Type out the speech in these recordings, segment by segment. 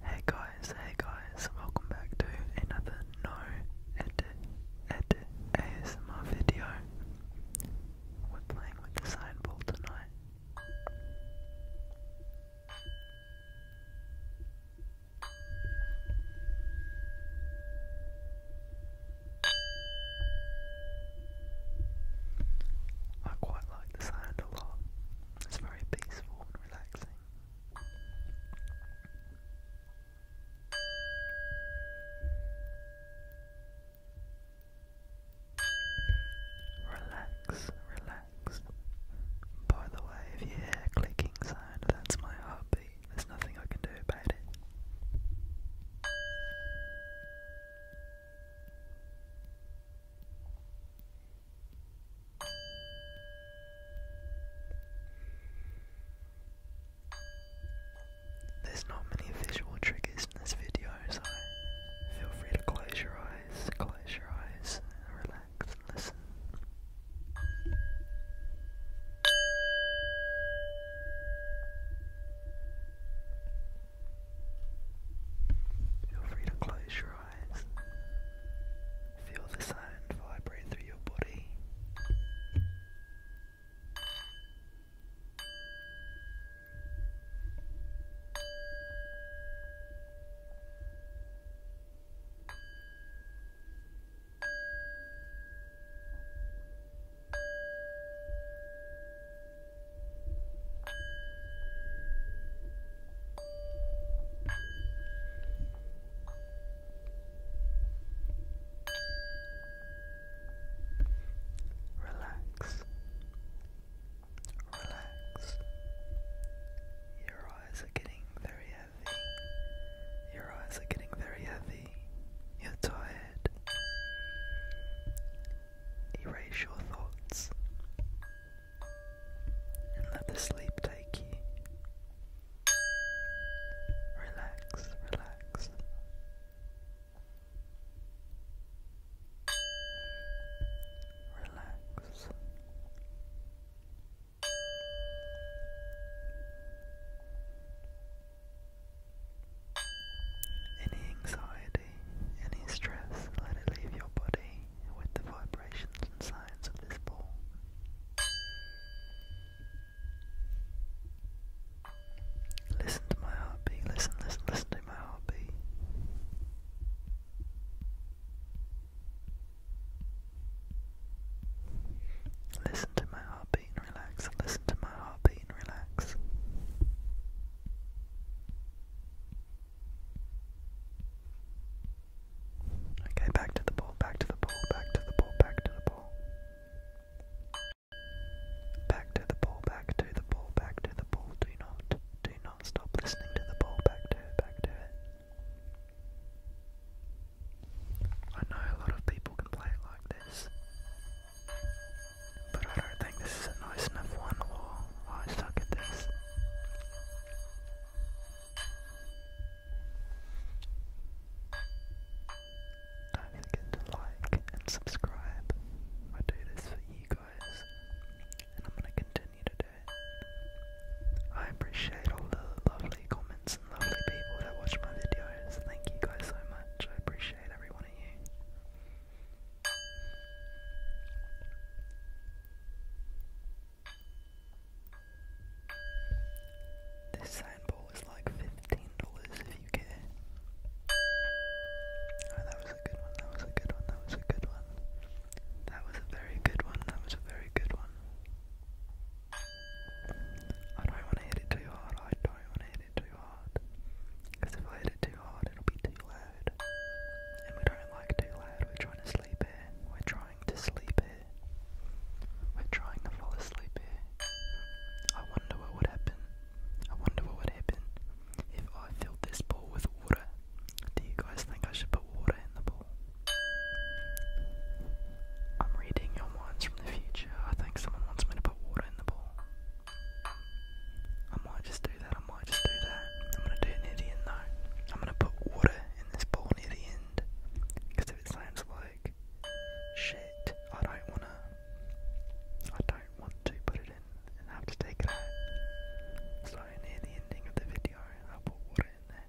Hey guys, hey guys, welcome back to another No Edit ASMR video. We're playing with the sign ball tonight. I quite like the sound a lot. It's very peaceful and relaxing. Relax, relax. By the way, if you hear clicking sound, that's my heartbeat. There's nothing I can do about it. There's not many visual triggers in this video, so feel free to close your eyes, close your eyes, and relax and listen. Feel free to close your eyes. Feel the sound vibrate through your body. Relax. Relax. Your eyes are getting very heavy. Your eyes are getting very heavy. You're tired. Erase your thoughts and let the sleep take you. Relax, relax. Relax. Any anxiety, any stress, let it leave your body with the vibrations and sounds of this ball. Listen to my heartbeat, listen, listen, listen to my heartbeat. Listen to my heartbeat and relax. Listen to my heartbeat and relax. Okay, back to the ball, back to the ball, back to the ball, back to the ball. Back to the ball, back to the ball, back to the ball. Do not, do not stop listening to the ball. Back to it, back to it. I know a lot of people can play it like this. But I don't think this is a nice enough one, or I suck at this. Don't forget to like and subscribe. I do this for you guys, and I'm going to continue to do it. I appreciate all the lovely comments and lovely people that watch my videos. Thank you guys so much. I appreciate this sand ball is like fifteen dollars if you care. Oh, that was a good one. That was a good one. That was a good one. That was a very good one. That was a very good one. I don't want to hit it too hard. I don't want to hit it too hard. Because if I hit it too hard, it'll be too loud. And we don't like too loud. We're trying to sleep here. We're trying to sleep here. We're trying to fall asleep here. I wonder what would happen. I wonder what would happen if I filled this bowl with water. Do you guys think I should put water in the bowl? I'm reading your minds future. I think someone wants me to put water in the bowl. I might just do that, I might just do that. I'm gonna do it near the end though. I'm gonna put water in this ball near the end. Because if it sounds like shit, I don't wanna. I don't want to put it in and have to take it out. So near the ending of the video, I'll put water in there.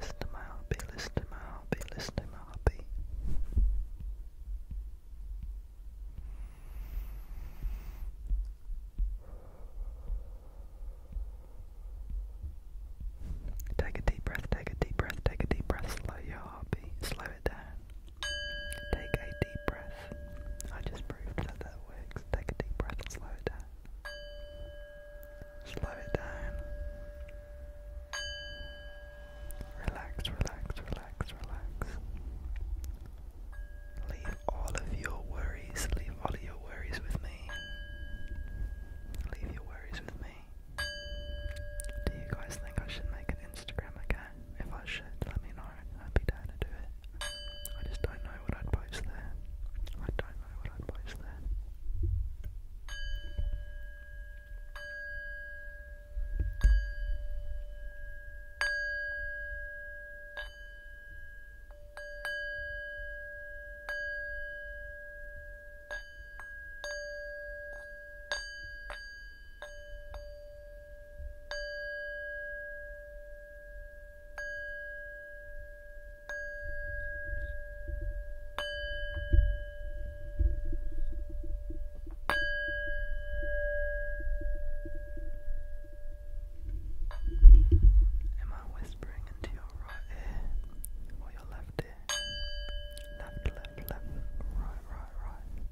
Listen to my heartbeat, listen to my heartbeat, listen to my heartbeat. Take a deep breath, take a deep breath, take a deep breath, slow your heartbeat, slow it down. Take a deep breath. I just proved that that works. Take a deep breath and slow it down. Slow it down. Relax, relax, relax, relax. Leave all of your worries, leave all of your worries with me. Leave your worries with me. Do you guys think I should make an Instagram account? If I should, let me know. I'd be down to do it. I just don't know what I'd post there. I don't know what I'd post there. Am I whispering into your right ear or your left ear? Left, left, left, right, right, right.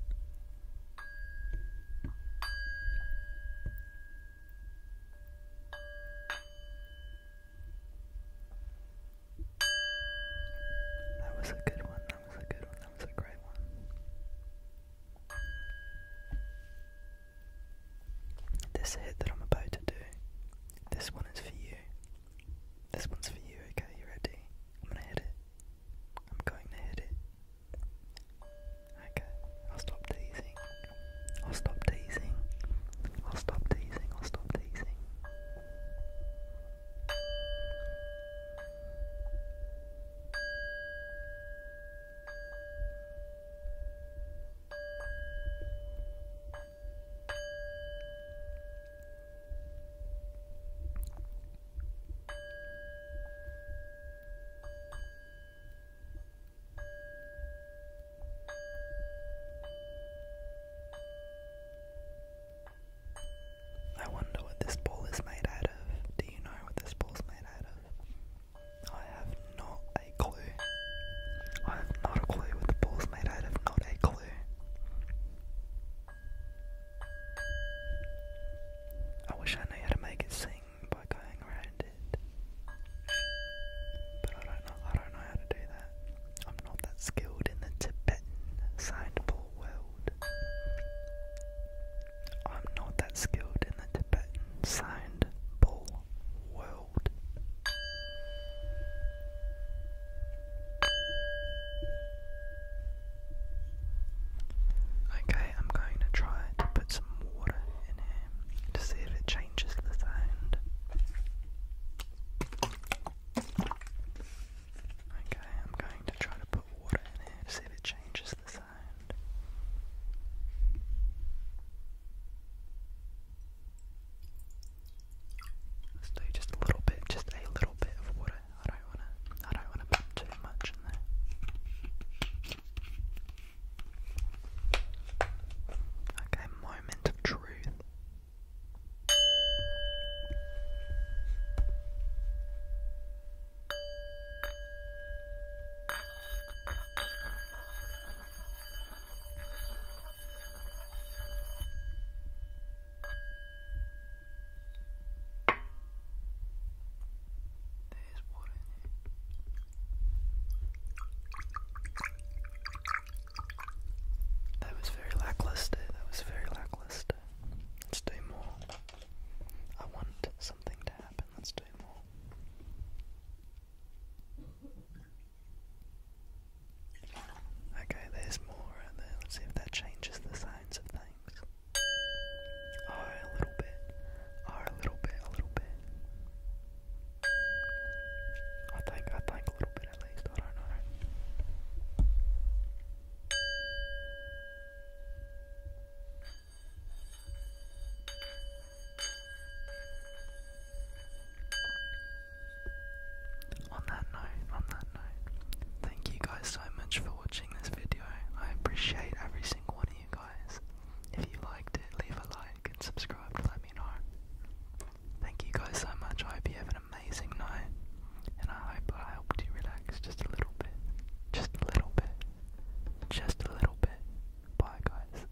That was a good one, that was a good one, that was a great one. This hit that I'm about to do, this one is for you. This one's for you, okay? You ready? I'm gonna hit it. I'm going to hit it. Okay, I'll stop teasing. I'll stop teasing. I'll stop teasing. I'll stop teasing. I wonder what this ball is made out of. Do you know what this ball's made out of? I have not a clue. I have not a clue what the ball's made out of, not a clue. I wish I knew how to make it sing by going around it. But I don't know I don't know how to do that. I'm not that skilled in the Tibetan soundball world. I'm not that skilled in the Tibetan soundball world. Okay, I'm going to try to put some water in here to see if it changes the sound. Okay, I'm going to try to put water in here to see if it changes the sound just a little bit, just a little bit of water. I don't wanna, I don't wanna put too much in there. Okay, moment of truth. That was very lackluster. That was very lackluster. Let's do more. I want something to happen. Let's do more. Okay, there's more right there. Let's see if that changes the signs of things. Oh, a little bit. Oh, a little bit, a little bit. I think, I think a little bit at least. I don't know. On that note, on that note, thank you guys so much for watching this video. I appreciate every single one of you guys. If you liked it, leave a like and subscribe to let me know. Thank you guys so much. I hope you have an amazing night, and I hope I helped you relax just a little bit. Just a little bit. Just a little bit. Bye, guys.